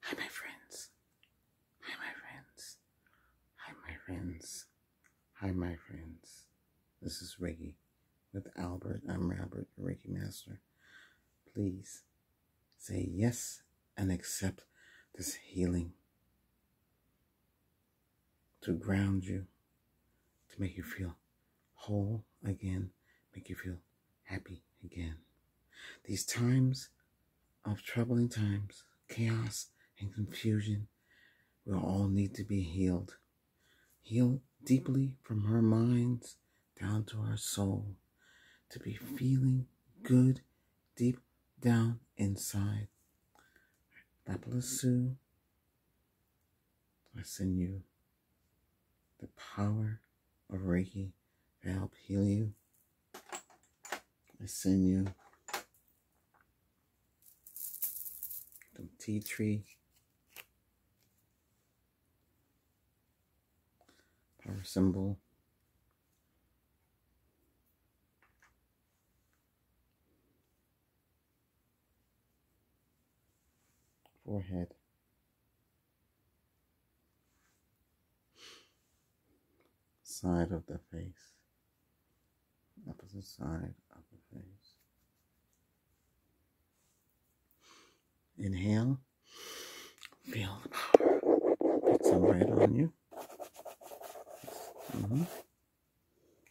Hi, my friends. Hi, my friends. Hi, my friends. Hi, my friends. This is Reiki with Albert. I'm Robert, your Reiki master. Please say yes and accept this healing to ground you, to make you feel whole again, make you feel happy again. These times of troubling times, chaos, and confusion will all need to be healed. Healed deeply from our minds down to our soul to be feeling good deep down inside. Lapla Sue, I send you the power of Reiki to help heal you I send you the T tree. Power symbol. Forehead side of the face, opposite side of the face. Inhale, feel the power. Put some right on you. Mm-hmm.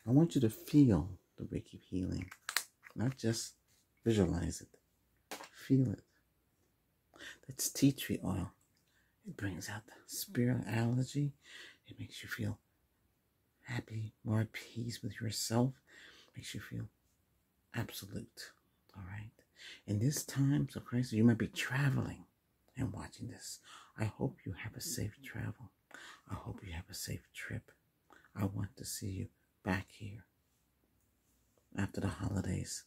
I want you to feel the Reiki healing, not just visualize it. Feel it. That's tea tree oil. It brings out the spirituality. It makes you feel happy, more at peace with yourself. Makes you feel absolute. All right. In this time, so Christ, you might be traveling and watching this. I hope you have a safe travel. I hope you have a safe trip. I want to see you back here after the holidays.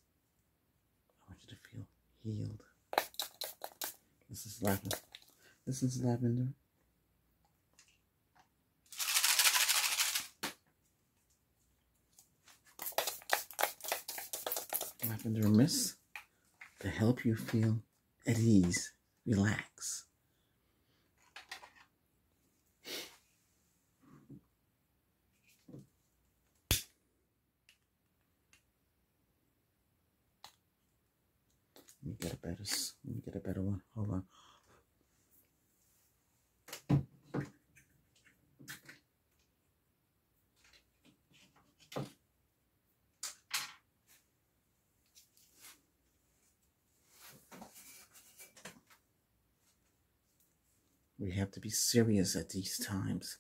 I want you to feel healed. This is lavender. This is lavender. Lavender mist to help you feel at ease, relax. Let me get a better. Let me get a better one. Hold on. We have to be serious at these times.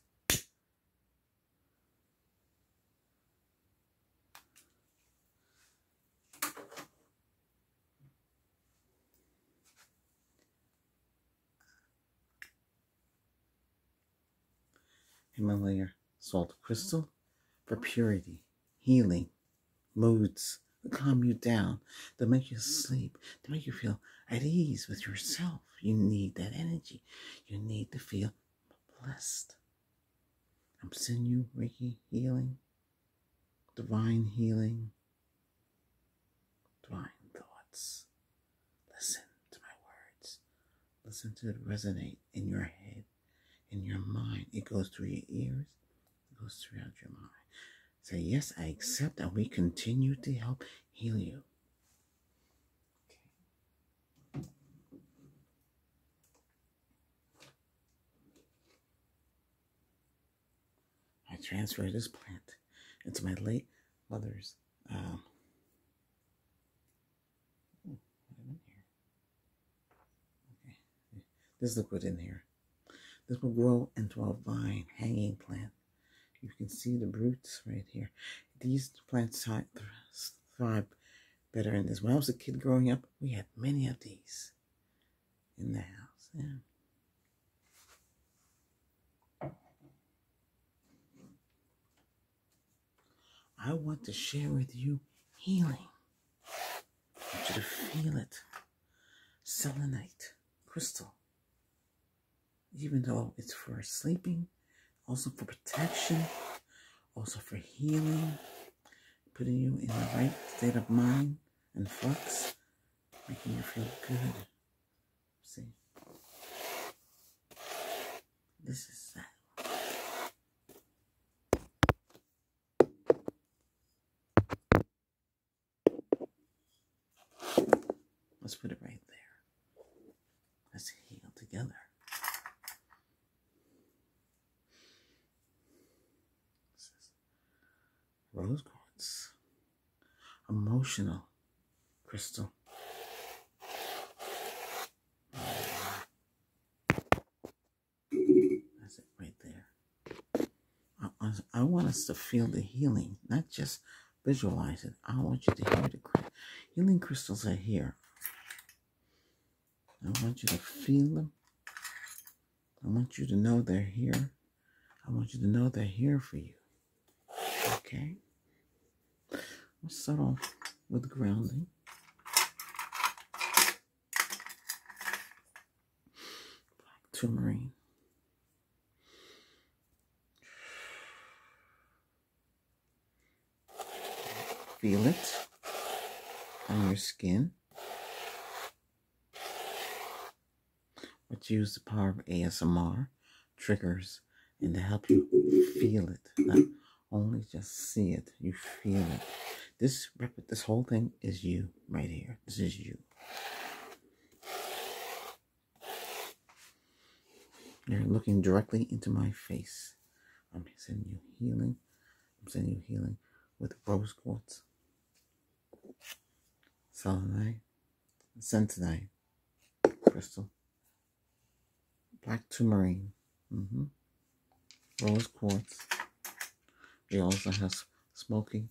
Himalaya salt crystal for purity, healing, moods to calm you down, to make you sleep, to make you feel at ease with yourself. You need that energy. You need to feel blessed. I'm sending you Ricky healing, divine healing, divine thoughts. Listen to my words. Listen to it resonate in your head, in your mind. It goes through your ears, it goes throughout your mind. Say, yes, I accept and we continue to help heal you. I transfer this plant into my late mother's uh, This is what's in here. This will grow into a vine hanging plant you can see the roots right here. These plants thrive better in this. When I was a kid growing up, we had many of these in the house. I want to share with you healing. I want you to feel it. Selenite, crystal, even though it's for sleeping, also for protection, also for healing, putting you in the right state of mind and flux, making you feel good. See? This is that. Let's put it right there. Let's heal together. rose quartz, emotional crystal. That's it right there. I, I want us to feel the healing, not just Visualize it. I want you to hear the healing crystals are here. I want you to feel them. I want you to know they're here. I want you to know they're here for you. Okay? Let's start off with grounding. Black tourmaline. Feel it on your skin. But use the power of ASMR triggers and to help you feel it. Not only just see it, you feel it. This this whole thing is you right here. This is you. You're looking directly into my face. I'm sending you healing. I'm sending you healing with rose quartz, selenite, sentinite, crystal, black tourmaline, mm-hmm. rose quartz. We also have smoky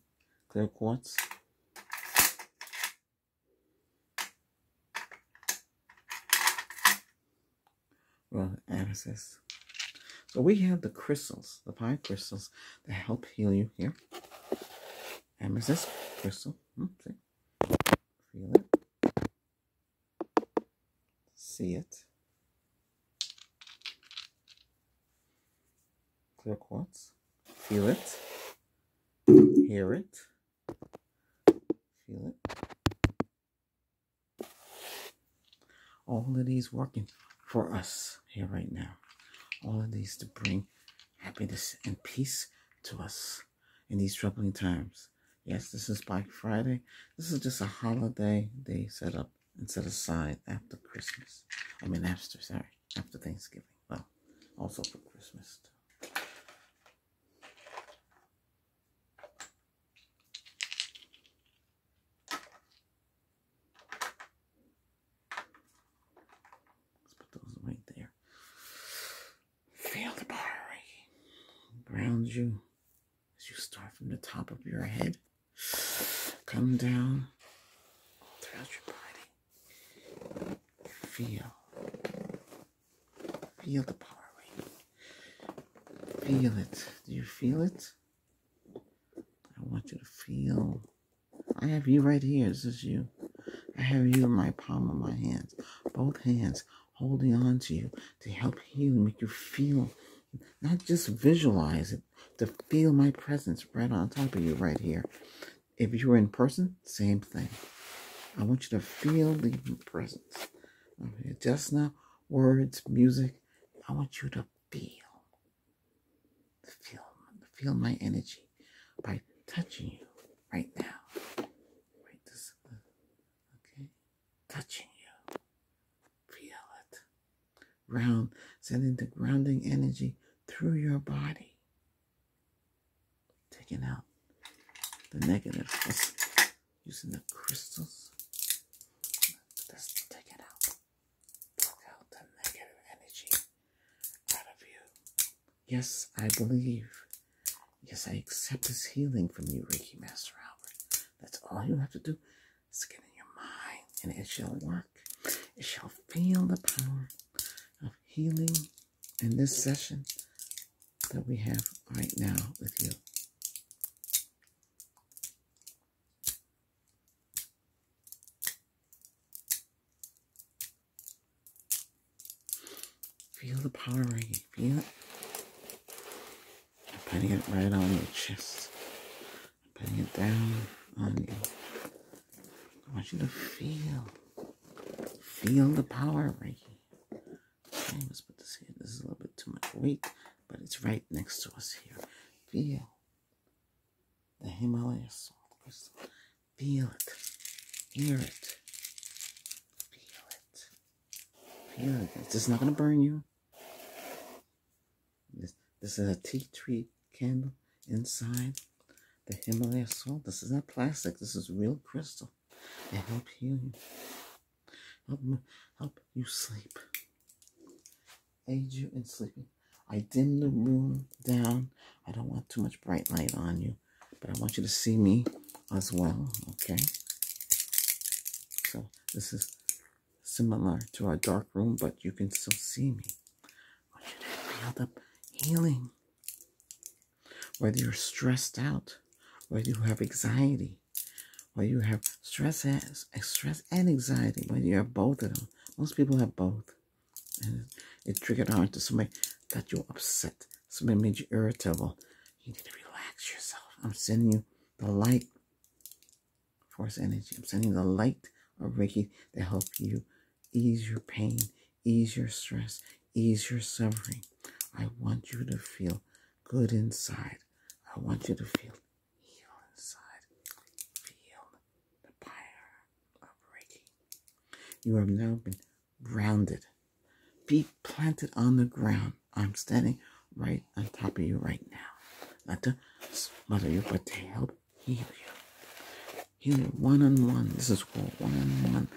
clear quartz, well, amethyst. So we have the crystals, the pine crystals that help heal you here. Amethyst crystal. Hmm, see? it. See it. Clear quartz. Feel it hear it, feel it. All of these working for us here right now. All of these to bring happiness and peace to us in these troubling times. Yes, this is Black Friday. This is just a holiday they set up and set aside after Christmas. I mean, after, sorry, after Thanksgiving something. Well, also for Christmas. Let's put those right there. Feel the body grounds you as you start from the top of your head, come down throughout your body. Feel. Feel the power wave. Feel it. Do you feel it? I want you to feel. I have you right here. This is you. I have you in my palm of my hands. Both hands holding on to you to help you make you feel not just visualize it, to feel my presence right on top of you right here. If you're in person, same thing. I want you to feel the presence. Just now, words, music. I want you to feel, feel, feel my energy by touching you right now. Right this, okay, touching you. Feel it. Ground, sending the grounding energy through your body taking out the negative using the crystals. Let's take it out. Block out the negative energy out of you. Yes, I believe. Yes, I accept this healing from you, Reiki Master Albert. That's all you have to do is get in your mind, and it shall work. It shall feel the power of healing in this session that we have right now with you. Feel the power ringing. Feel it. putting it right on your chest. putting it down on you. I want you to feel. Feel the power right here. Okay, let's put this here. This is a little bit too much weight, but it's right next to us here. Feel the Himalayas. salt crystal. Feel it. Hear it. Feel it. Feel it. This is not going to burn you. this is a tea tree candle inside the Himalaya salt. This is not plastic. This is real crystal. It helps heal you. Help, help you sleep. Aid you in sleeping. I dim the room down. I don't want too much bright light on you. But I want you to see me as well. Okay? So this is similar to our dark room, but you can still see me. I want you to feel the healing. Whether you're stressed out, whether you have anxiety, whether you have stress, stress and anxiety, whether you have both of them. Most people have both. And it triggered on to somebody that you are upset. Somebody made you irritable. You need to relax yourself. I'm sending you the light force energy. I'm sending the light of Riki to help you ease your pain, ease your stress, ease your suffering. I want you to feel good inside. I want you to feel heal inside. Feel the fire of Reiki. You have now been grounded. Be planted on the ground. I'm standing right on top of you right now. Not to smother you, but to help heal you healing one on one. This is called one on one.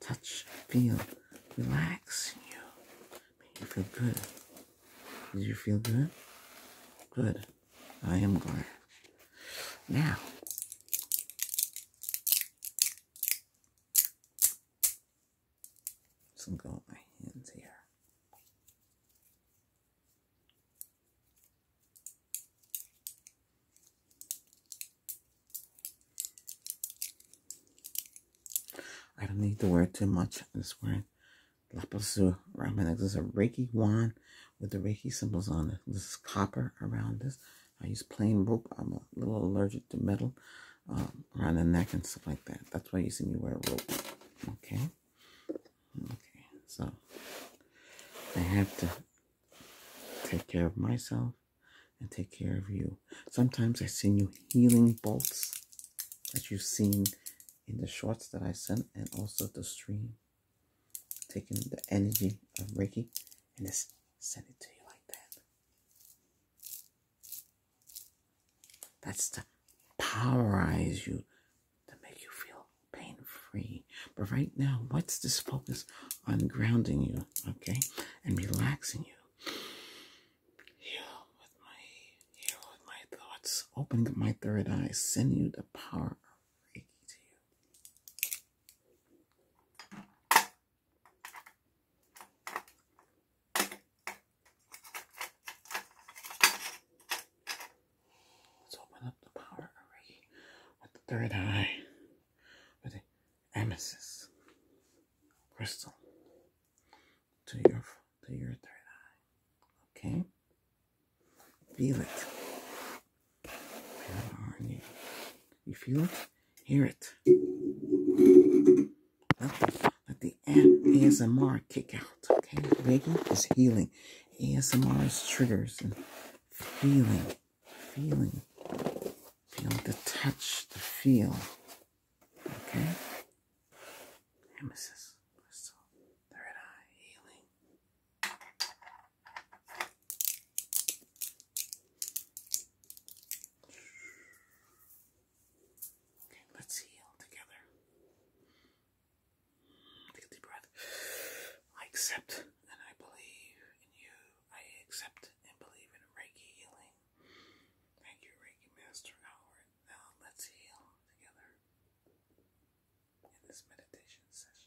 Touch, feel, relax you. Make you feel good. Did you feel good? Good. I am good Now, some go my hands here. I don't need to wear too much. I'm just wearing Lapazu Ramen. This is a Reiki wand with the Reiki symbols on it. This is copper around this. I use plain rope. I'm a little allergic to metal um, around the neck and stuff like that. That's why you see me wear rope. Okay. Okay. So I have to take care of myself and take care of you. Sometimes I send you healing bolts that you've seen in the shorts that I sent and also the stream. Taking the energy of Reiki and just send it to you like that. That's to powerize you, to make you feel pain-free. But right now, what's this focus on grounding you, okay, and relaxing you? Heal with my, heal with my thoughts. Open my third eye. Send you the power of Reiki to you. Let's open up the power of Reiki with the third eye. With Emesis, crystal to your to your third eye. Okay? Feel it. You? feel it? Hear it. Let the, let the ASMR kick out. Okay? baby is healing. ASMR is triggers and healing feeling, feel the touch, the feel. Okay? Emesis, crystal, third eye, healing. Okay, let's heal together. Take a deep breath. I accept and I believe in you. I accept and believe in Reiki healing. Thank you, Reiki Master Howard. Now let's heal together in this meditation session.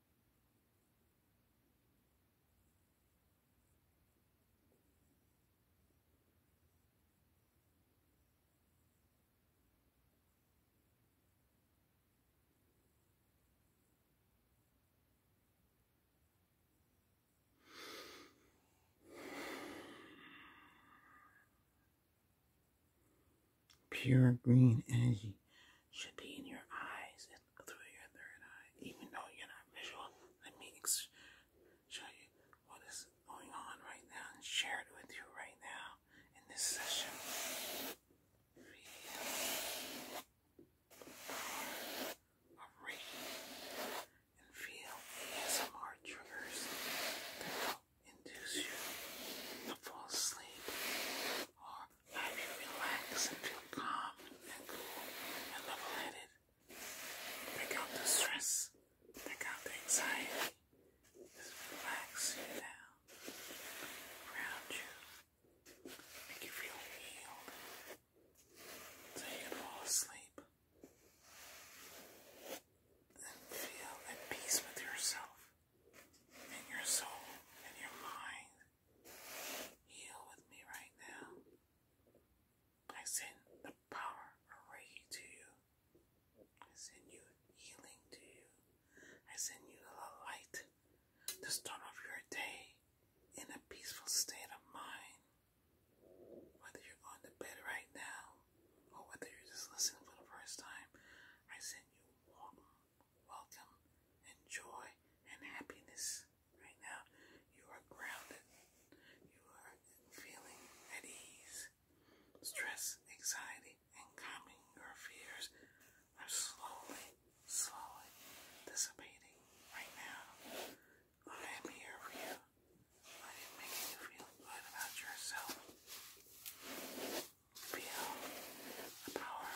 pure green energy should be in your eyes and through your third eye. Even though you're not visual, let me show you what is going on right now and share it with you right now in this session. Feel of and feel ASMR triggers induce you to fall asleep I me relax and feel calm and cool and level headed. Break out the stress, break out the anxiety. Just relax you down, ground you, make you feel healed so you can fall asleep and feel at peace with yourself in your soul in your mind. Heal with me right now. I send the power of to you. I send you healing to you. I send you the light to start of your day in a peaceful state of mind. Whether you're going to bed right now or whether you're just listening for the first time, I send you warm welcome and joy and happiness. Right now, you are grounded. You are feeling at ease. Stress, anxiety, and calming your fears are slowly, slowly dissipating right now. I am here for you. I am making you feel good about yourself. Feel the power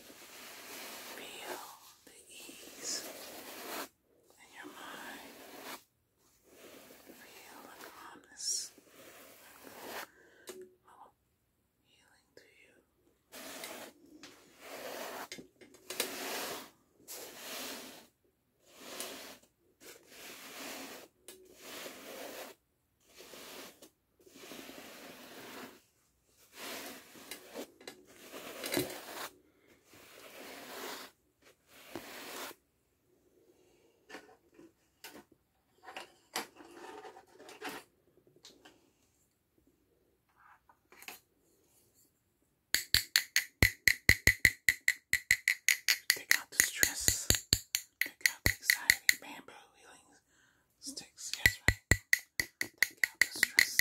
Feel the ease in your mind. Feel the calmness oh, healing to you. Take out the stress. Take out the anxiety. Bamboo healing sticks. Take out the stress.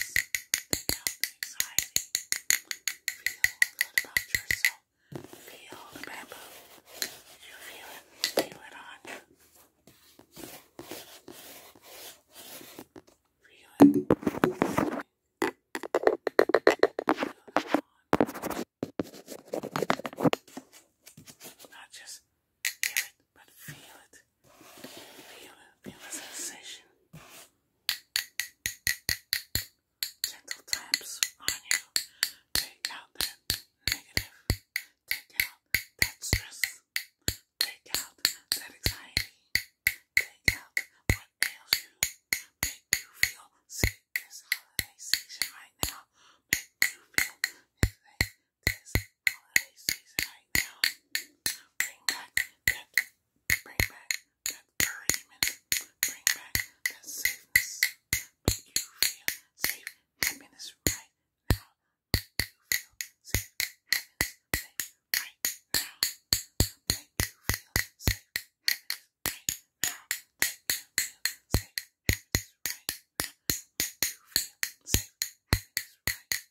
Take out the anxiety. Feel good about yourself. Feel the bamboo. You feel it. Feel it on you. Feel it. Feel it. Not just Feel it, but feel it. Feel it, feel the sensation. Gentle taps on you. Take out that negative. Take out that stress. Take out that anxiety. Take out what ails you. Make you feel this holiday right now. Make you feel sick this holiday season right now. Bring back that, bring back that encouragement. Bring back that safeness. Make you feel safe, happiness right now. Make you feel safe, happiness right now. Make you feel safe, happiness right now. Make you feel safe, happiness right now. right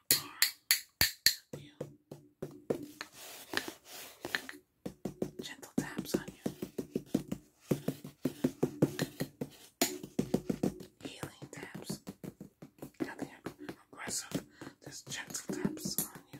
Gentle taps on you. Healing taps. Nothing aggressive. Just gentle taps on you.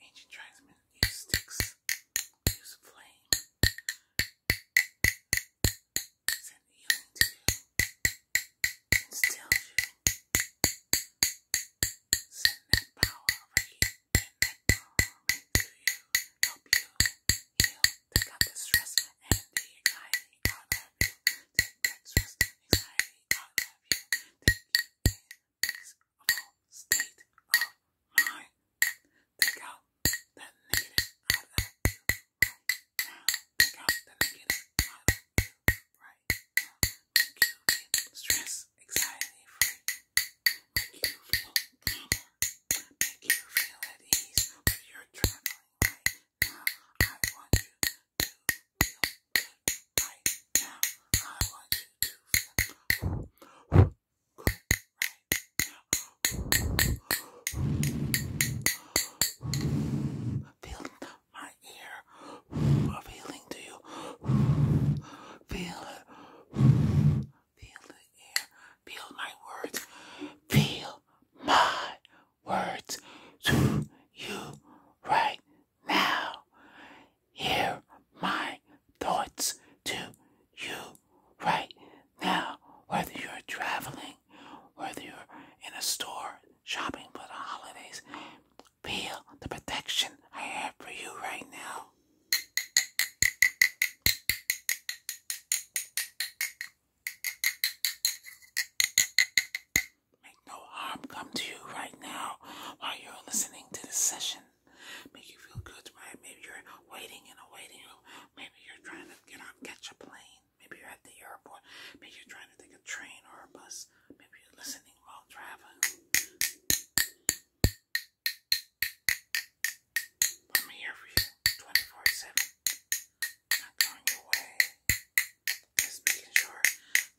Ancient tribesmen use sticks, use flame, send healing to you, send that power to you, help you heal, take out stress and anxiety out of you, take that stress, anxiety I love you. Take you in peaceful state of mind. Take out the negative out of you right now. Take out the negative out of you right Make you feel stress, anxiety free. Make you feel calmer. Make you feel at ease when you're traveling right I want you to feel good now. I want you to feel Feel my ear appealing to you. Feel it. Feel the air. Feel my words. Feel my words to you right now. Hear my thoughts to you right now. Whether you're traveling, whether you're in a store shopping for the holidays, feel the protection I have for you right now. Make no harm come to you right now while you're listening to this session. Make you feel good, right? Maybe you're waiting in a waiting room. Maybe you're trying to get on, catch a plane. Maybe you're at the airport. Maybe you're trying to take a train or a bus. Maybe you're listening while traveling. I'm here for you 24 7. Not going away. Just making sure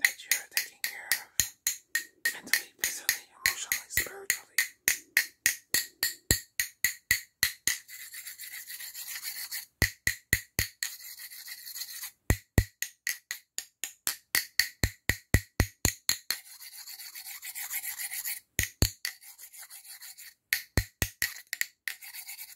that you're taking care of mentally, physically, emotionally, spiritually.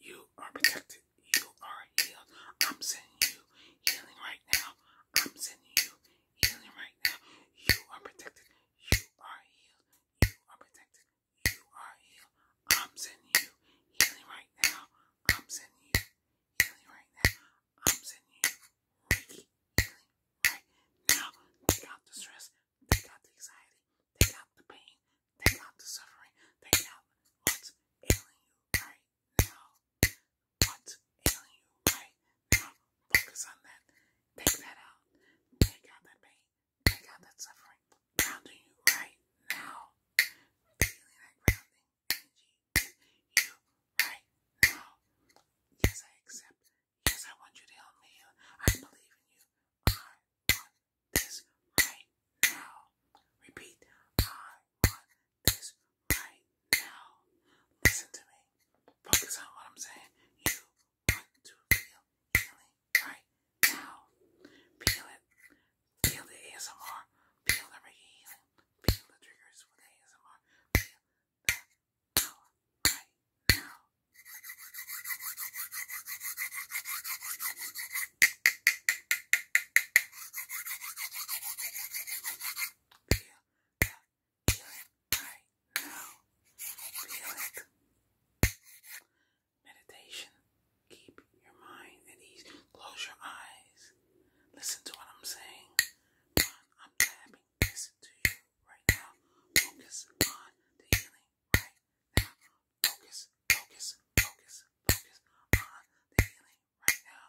You are protected. You are healed. I'm sending you healing right now. I'm sending you healing right now. You are protected. You are healed. You are protected. You are healed. I'm sending you healing right now. I'm sending you healing right now. I'm sending you Reiki healing right now. Take out the stress. Take out the anxiety. Take out the pain. Take out the suffering. Take out what's ailing you right now. What's ailing you right now? Focus on that. Take that out. Take out that pain. Take out that suffering. Grounding you right now. Feeling that grounding energy you right now. Yes, I accept. Yes, I want you to help me. I believe in you this right now. Repeat, I want this right now. Listen to me. Focus on what I'm saying. You want to feel healing right now. Feel it. Feel the ASMR. Feel the Reiki Feel the triggers with ASMR. right now right now. Feel it. Meditation. Keep your mind at ease. Close your eyes. Listen to what I'm saying. I'm tapping this to you right now. Focus on the healing right now. Focus, focus, focus, focus on the healing right now.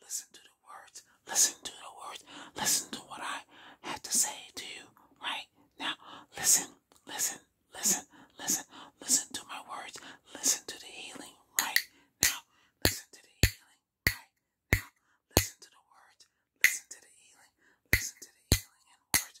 Listen to the words. Listen to the words. Listen to what I have to say to you right now. Listen, listen, listen, listen, listen to my words. Listen to the healing right now. Listen to the healing right now. Listen to the words. Listen to the healing. Listen to the healing and words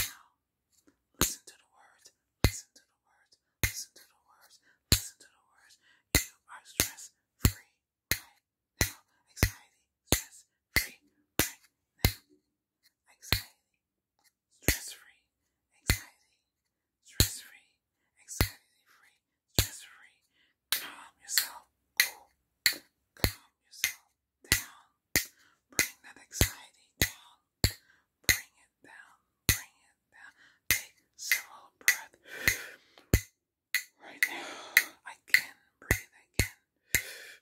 now, listen to the words, listen to the words, listen to the words, listen to the words. You are stress free now. Anxiety, free now. Anxiety, stress free, anxiety, stress free, anxiety free, stress free. Calm yourself, cool. Calm yourself, down, bring that anxiety down, bring it down, bring it down. Take several breaths. Right now, I can breathe again,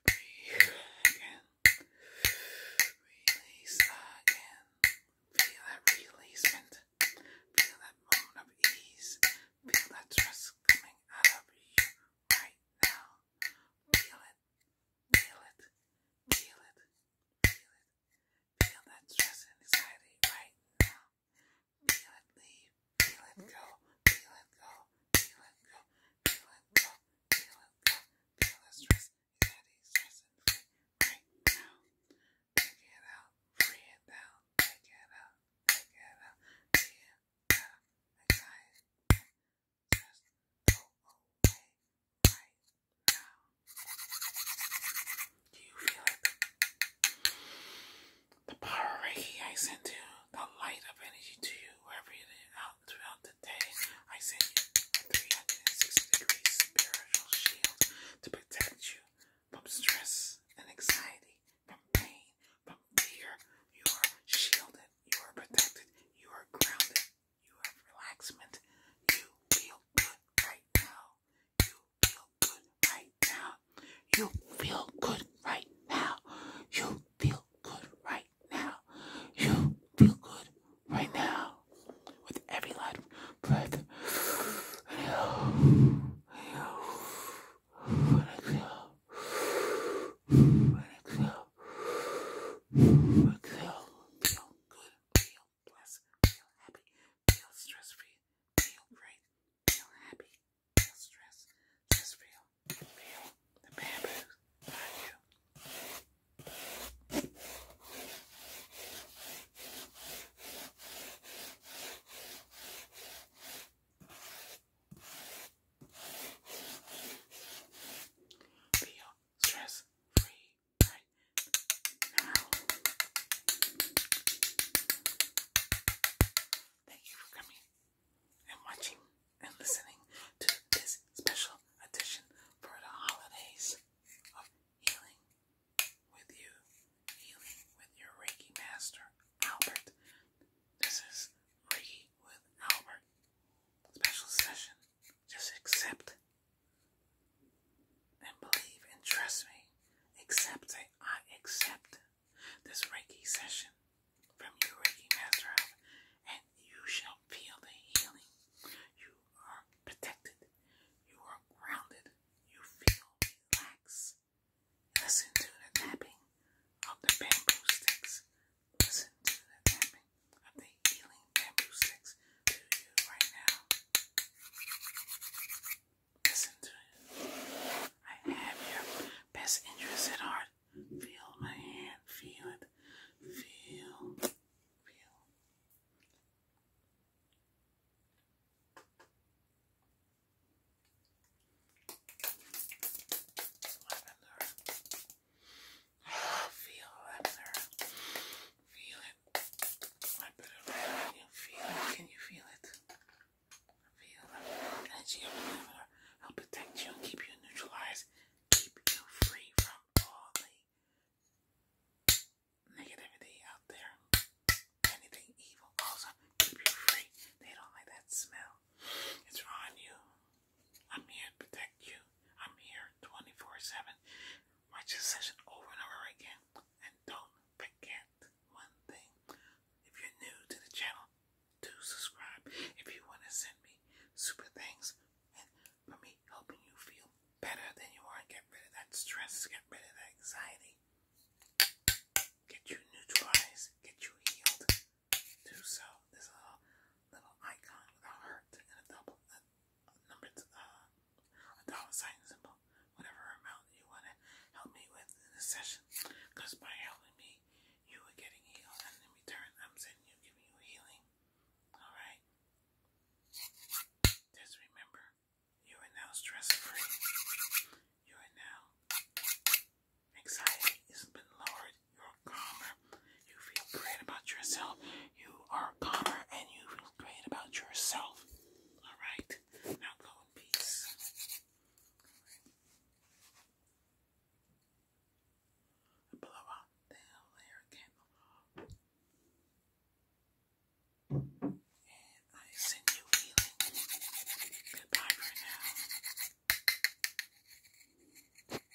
breathe again, release again. Feel that releasement, feel that moment of ease, feel that trust coming out of you right now. Feel it Feel it. Feel it. Feel it. Feel that stress and anxiety right now. Feel it leave. Feel it go. Feel it go. Feel it go. Feel it go. Feel it go. Feel that stress, anxiety, stress right now. Take it out. Free it down. Take it out. Take it out. Take it out. Anxiety. The power Reiki I sent to you, the light of energy to you, wherever throughout the day, I send you a 360 degree spiritual shield to protect you from stress and anxiety, from pain, from fear. You are shielded, you are protected, you are grounded, you have relaxment. You feel good right now. You feel good right now. You feel good right now. You feel good right now. You feel good right now. With every light breath. Exhale. Exhale feel, good, feel blessed, feel happy, feel stress free, feel great, feel happy, feel stress, stress feel, the bamboo you. Feel stress free right now. Thank you for coming and watching and listening to this special edition for the holidays of healing with you, healing with your Reiki master, Albert. This is Reiki with Albert special session just accept and believe and trust me. Accept it. I accept this Reiki session from you, Reiki Master and you shall feel the healing. You are protected. You are grounded. You feel relaxed. Listen to the tapping of the bamboo sticks Listen to the tapping of the healing bamboo sticks to you right now. Listen to it. I have your best interest at heart. Feel my hand. Feel it. Feel. Feel feel that nerve. Feel it. I put it right you. Feel it. Can you feel it? Feel the energy of the I'll protect you and keep you neutralized. Keep you free from all the negativity out there. Anything evil. Also, keep you free. They don't like that smell. It's on you. I'm here to protect you. I'm here 24 7. Watch this session over and over again. And don't forget one thing. If you're new to the channel, do subscribe. If you want to send me super things and for me helping you feel better than you are, get rid of that stress, get rid of that anxiety, get you neutralized, get you healed. Do so. There's a little icon with a heart and a double, number uh, dollar sign symbol, whatever amount you want to help me with in this session. Because by helping me, you are getting healed, and in return, I'm sending you, giving you healing. All right. Just remember, you are now stress free. You are now anxiety has been lowered you're calmer, you feel great about yourself, you are calmer and you feel great about yourself. Alright, now go in peace. Blow out the layer candle. And I send you healing. Goodbye for now.